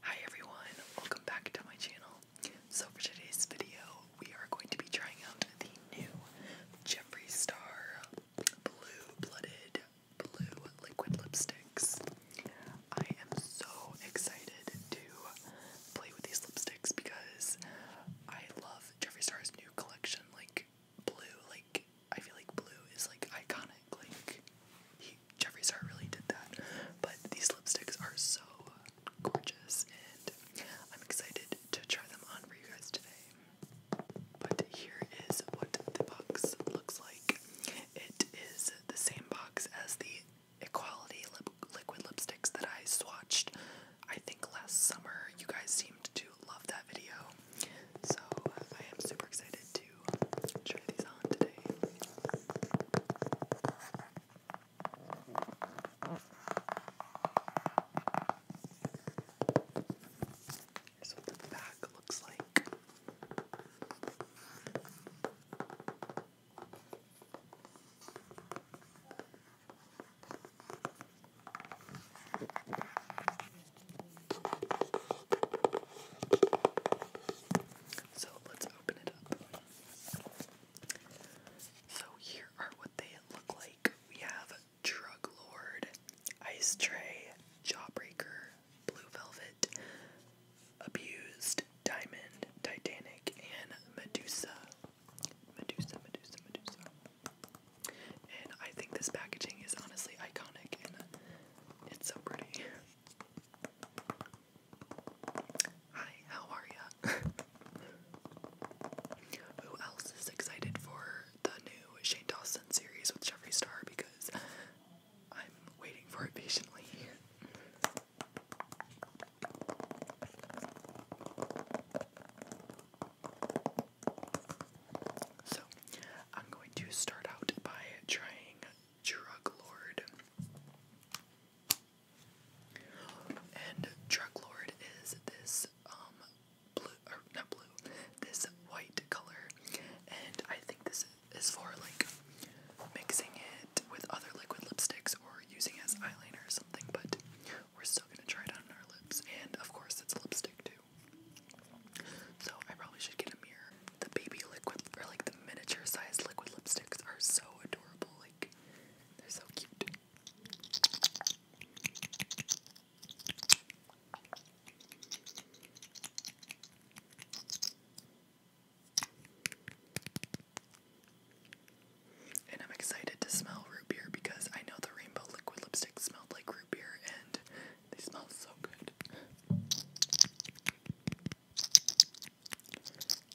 Hi everyone, welcome back to my channel. So for today's video, we are going to be trying out the new Jeffree Star Blue Blooded Blue Liquid Lipsticks. I am so excited to play with these lipsticks because I love Jeffree Star's new collection, like blue, like I feel like blue is like iconic like like Jeffree Star really did that. But these lipsticks are so uh, gorgeous and I'm excited to try them on for you guys today. But here is what the box looks like. It is the same box as the Equality lip liquid lipsticks that I swatched I think last summer. You guys seemed to love that video. So uh, I am super excited to to try these on today. Here's what the back looks like. So let's open it up. So here are what they look like. We have Drug Lord, Ice Tray, Jawbreaker, Blue Velvet, Abused, Diamond, Titanic, and Medusa. Medusa, Medusa, Medusa. And I think this packaging is honestly iconic and it's so pretty. Hi, how are ya? Who else is excited for the new Shane Dawson series with Jeffree Star? Because I'm waiting for it patiently. So, I'm going to start out by trying drug lord. And drug lord is this um blue or not blue, this white color, and I think this is for like mixing it with other liquid lipsticks or using as eyeliner or something. But we're still gonna try it on our lips, and of course it's lipstick too. So I probably should get a mirror the baby liquid or like the miniature size liquid lipsticks are so adorable. Like they're so cute. And I'm excited to smell root beer because I know the rainbow liquid lipstick smelled like root beer and they smell so good.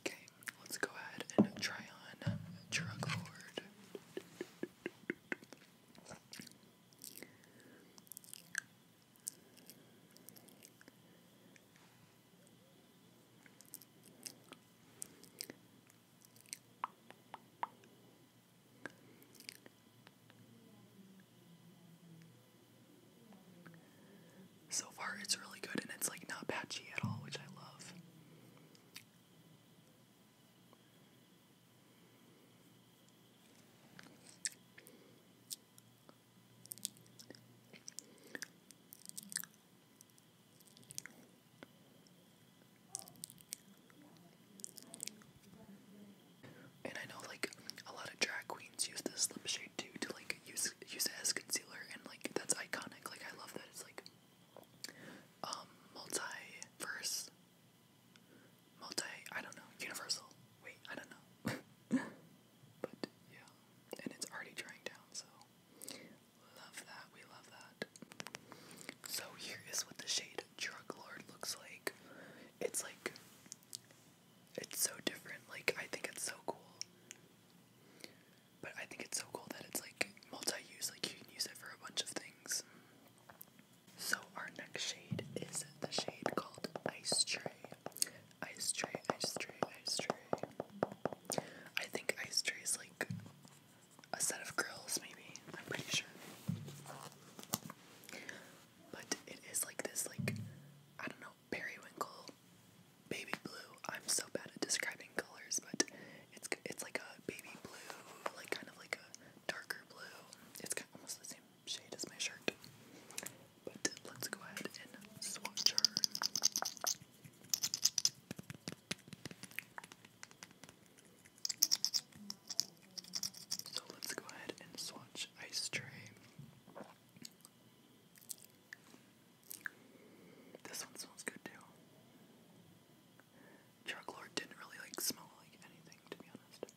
Okay, let's go ahead and try on Drug Lord. So far, it's really good and it's like not patchy at all, which I love. And I know like a lot of drag queens use this lip shade too to like use use as concealer and like that's iconic. Like I love that it's like um multiverse multi I don't know, universal. Wait, I don't know. but yeah. And it's already drying down, so love that, we love that. So here is what the shade Drug Lord looks like. It's like it's so different. Like, I think it's so cool. But I think it's so cool that it's like multi use, like, you can use it for a bunch of things. So, our next shade is the shade called Ice Tray. Ice Tray, Ice Tray, Ice Tray. I think Ice Tray is like a set of grills, maybe. I'm pretty sure. But it is like this, like, I don't know, periwinkle baby blue. I'm so bad at describing colors, but it's it's like a baby blue, like kind of like a darker blue. It's kind of almost the same shade as my shirt. But let's go ahead and swatch her. So let's go ahead and swatch Ice Tray. This one smells good too. Chucklord didn't really like smell like anything to be honest.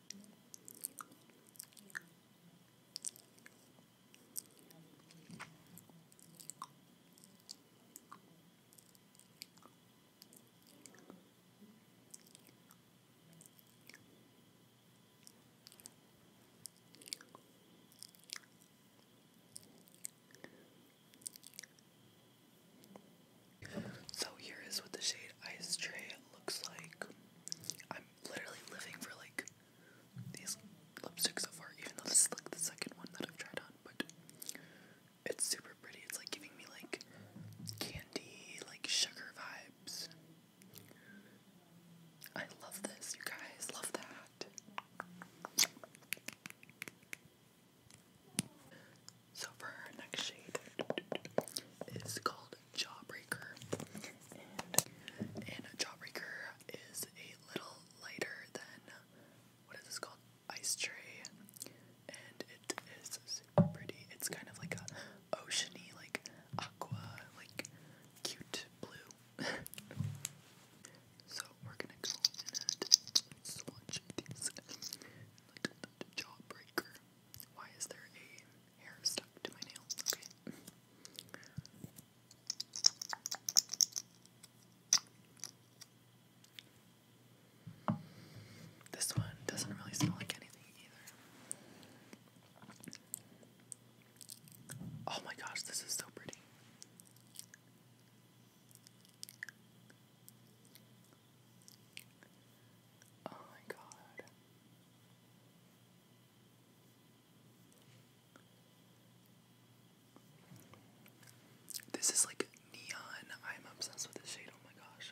So here is what the shade Ice Tray looks like. I'm literally living for like these lipsticks so far, even though this is like the second one that I've tried on, but it's super pretty. It's like giving me like candy, like sugar vibes. I love this, you guys. Love that. So for our next shade is called Jawbreaker. And, and Jawbreaker is a little lighter than what is this called? Ice Tray. And it is super pretty. It's kind of like a oceany, like aqua, like cute blue. so we're gonna go swatch these. Jawbreaker. Why is there a hair stuck to my nail? This one doesn't really smell like anything. Oh my gosh, this is so pretty. Oh my god. This is like neon. I'm obsessed with this shade. Oh my gosh.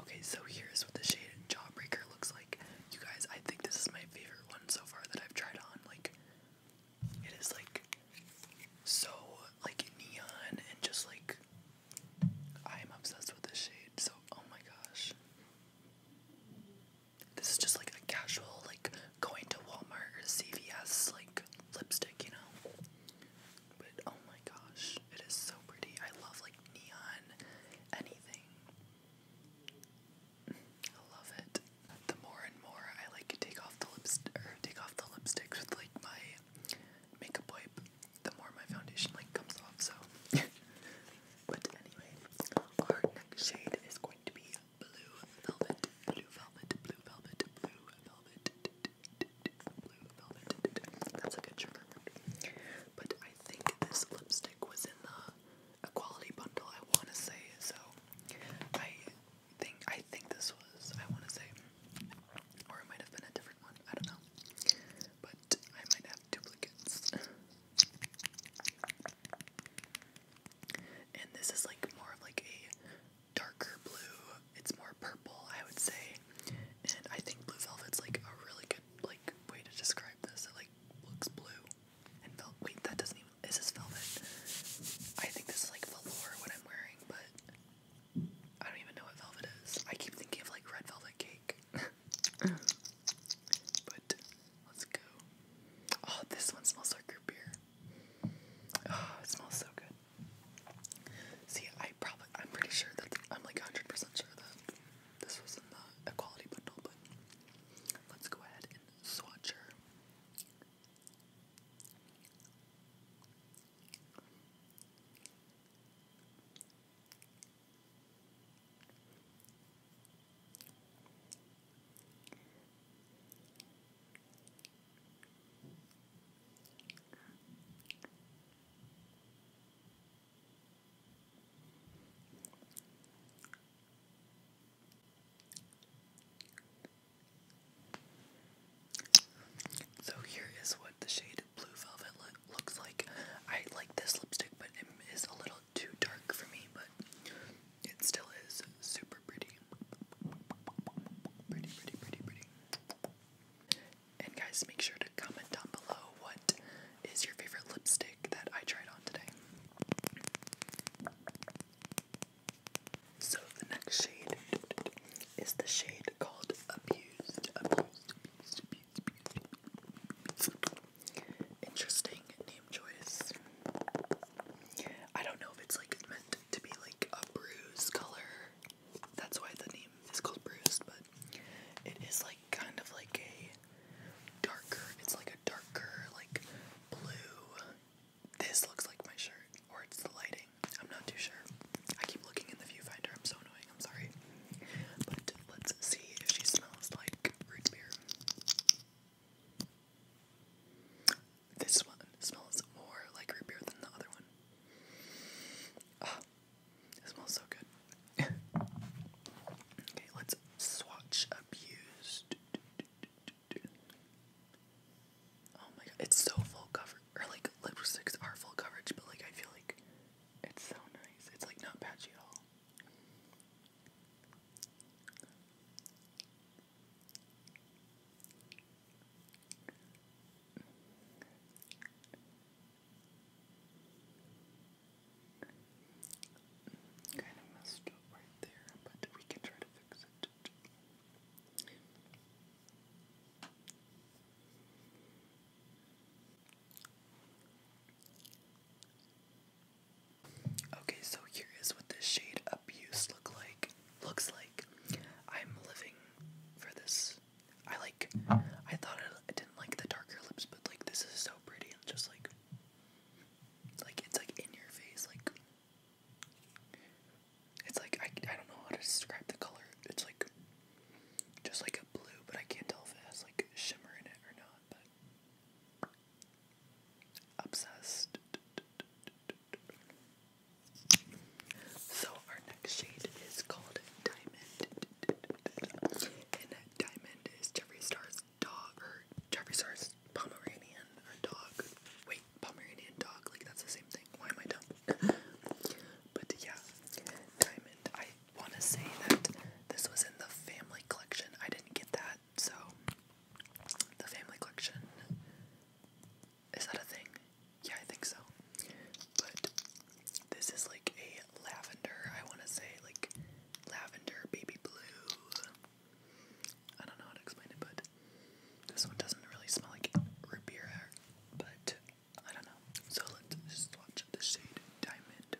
Okay, so here's what the shade Jawbreaker looks like. You guys, I think this is my favorite one so far that I've tried on. Like, it is like so like neon and just like I am obsessed with the shade. So, oh my gosh. This is just like a casual like going to Walmart or CVS like lipstick, you know. But oh my gosh, it is so pretty. I love like neon anything. I love it. The more and more I like take off the lips or take off the lipsticks with like my makeup wipe, the more my foundation like comes off. So, but anyway, our next shade is going to be blue velvet, blue velvet, blue velvet, blue velvet. That's a good trigger But I think this lipstick was in the Equality Bundle, I want to say. So I think I think this was, I want to say. Or it might have been a different one. I don't know. But I might have duplicates. And this is like more of like a darker blue. It's more purple, I would say and I think blue velvet's like a really good like way to describe this. It like looks blue and felt. Wait, that doesn't even is this velvet? I think this is like velour what I'm wearing, but I don't even know what velvet is. I keep thinking of like red velvet cake. but let's go. Oh, this one smells like root beer. Oh, it smells so good. See, I probably, I'm pretty sure that, I'm like 100% sure that this was in the quality bundle, but let's go ahead and swatch her. So here is what the shade Blue Velvet looks like. I like this lipstick, but it is a little too dark for me, but it still is super pretty. Pretty, pretty, pretty, pretty. And guys, make sure to comment down below what is your favorite lipstick that I tried on today. So the next shade is the shade called Abused. Abused, abused, abused, abused. Interesting name choice. I don't know if it's like meant to be like a bruise color. That's why the name it's called Bruised, but it is like kind of like a darker, it's like a darker, like blue. This looks like my shirt, or it's the lighting. I'm not too sure. I keep looking in the viewfinder. I'm so annoying. I'm sorry. But let's see if she smells like root beer. This one smells more like root beer than the other one it smells so good. okay, let's swatch abused. Oh my god, it's so full coverage. Or like lipsticks are full coverage, but like I feel like it's so nice. It's like not patchy at all. Kind of messed up right there, but we can try to fix it. Okay, so here is what the shade abuse look like looks like. I'm living for this. I like. I thought I, didn't like the darker lips, but like this is so pretty just like. Like it's like in your face, like. It's like I I don't know how to describe the color. It's like. Just like a blue, but I can't tell if it has like shimmer in it or not. But. Obsessed. So our next shade is called Diamond. And Diamond is Jeffree Star's dog or Jeffree Star's Pomeranian or dog. Wait, Pomeranian dog, like that's the same thing. Why am I dumb? but yeah, Diamond. I wanna say that this was in the family collection. I didn't get that, so the family collection is that a thing? Yeah, I think so. But this is like a lavender, I want to say, like lavender baby blue. I don't know how to explain it, but this one doesn't really smell like root hair. but I don't know. So let's just swatch the shade Diamond.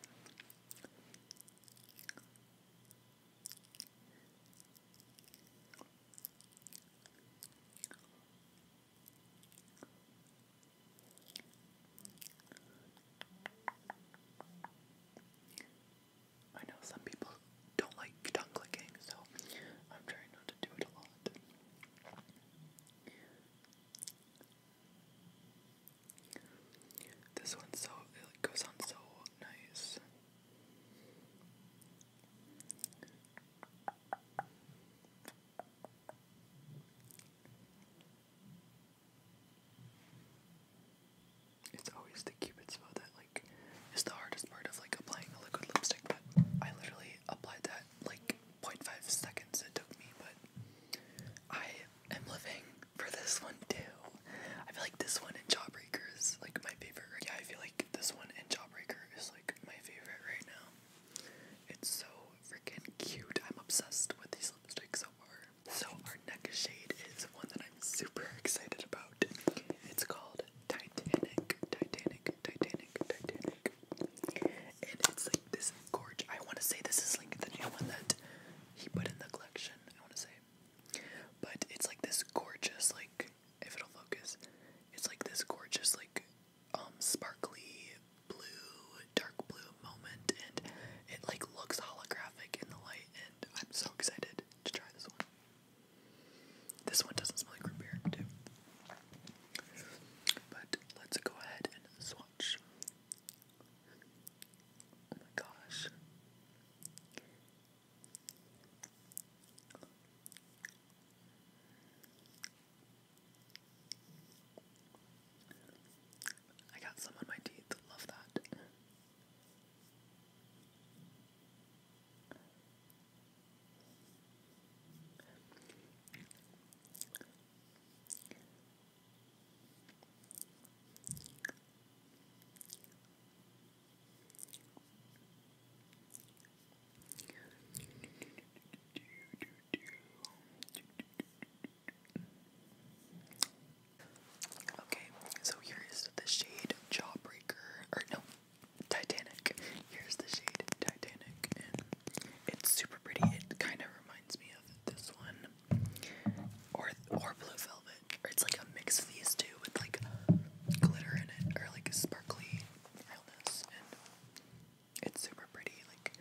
I know some people don't like tongue clicking, so I'm trying not to do it a lot. This one so it goes on so nice. It's always the cupid's bow that like is the hardest part of like applying a liquid lipstick, but I literally applied that like 0.5 seconds it took me, but I am living for this one too. I feel like this one in Jawbreaker is like my favorite. Yeah, I feel this one and Jawbreaker is like my favorite right now. It's so freaking cute. I'm obsessed with these lipsticks so far. So our next shade is one that I'm super excited about. It's called Titanic, Titanic, Titanic, Titanic. And it's like this gorge. I want to say this is like the new one that he put in the collection. I want to say, but it's like this gorgeous like if it'll focus. It's like this gorgeous, like, um, sparkly blue, dark blue moment, and it like looks holographic in the light. And I'm so excited to try this one. This one doesn't smell like root beer, too. But let's go ahead and swatch. Oh my gosh. I got some on my teeth. Love that. Okay, so here is the shade Jawbreaker, or no, Titanic. Here's the shade Titanic, it's super pretty. It kind of reminds me of this one, or or Blue Velvet. Or it's like a mix of these two with like glitter in it or like sparkly it's super pretty. Like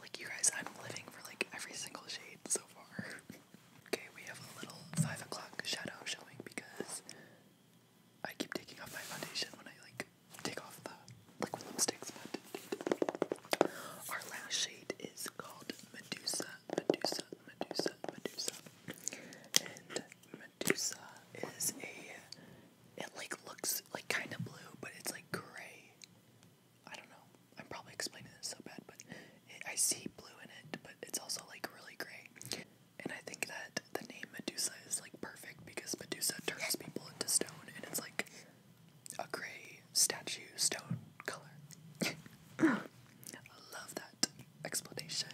like you guys I'm living for like every single shade so far. okay, we have a little five o'clock shadow showing because I keep taking off my foundation when I like take off the liquid lipsticks but our last shade is called Medusa, Medusa, Medusa, Medusa. And Medusa is a, it like looks like kind of blue, but it's like gray. I don't know. I'm probably explaining this so bad, but I see blue in it, but it's also like really gray. And I think that the name Medusa is like perfect because Medusa turns people into stone, and it's like a gray statue stone color. I love that explanation.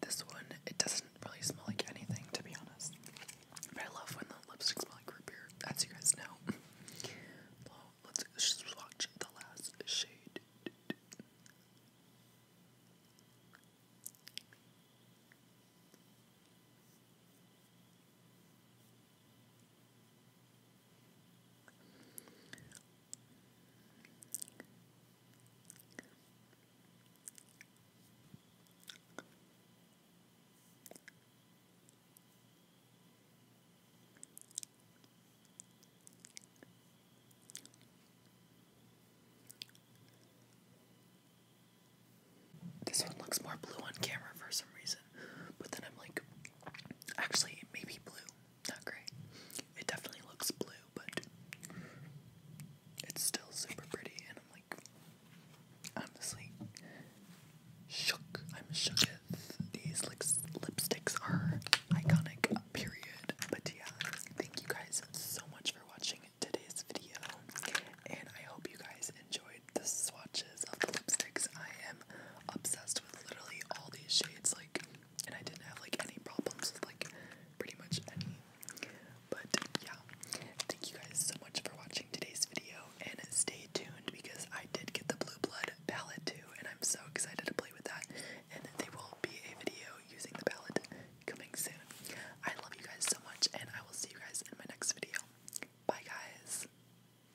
This one, it doesn't really smell like anything, to be honest. But I love when the lipsticks smell like root beer, as you guys know. let's swatch the last shade. This one looks more blue on camera for some reason, but then I'm like Actually, maybe blue. Not gray. It definitely looks blue, but it's still super pretty. And I'm like, honestly, shook. I'm shooketh. These lips lipsticks are iconic. Period. But yeah, thank you guys so much for watching today's video, and I hope you guys enjoyed the swatches of the lipsticks. I am obsessed literally all these shades, like, and I didn't have like any problems with like pretty much any. But yeah, thank you guys so much for watching today's video, and stay tuned because I did get the Blue Blood palette too, and I'm so excited to play with that. And there will be a video using the palette coming soon. I love you guys so much, and I will see you guys in my next video. Bye, guys.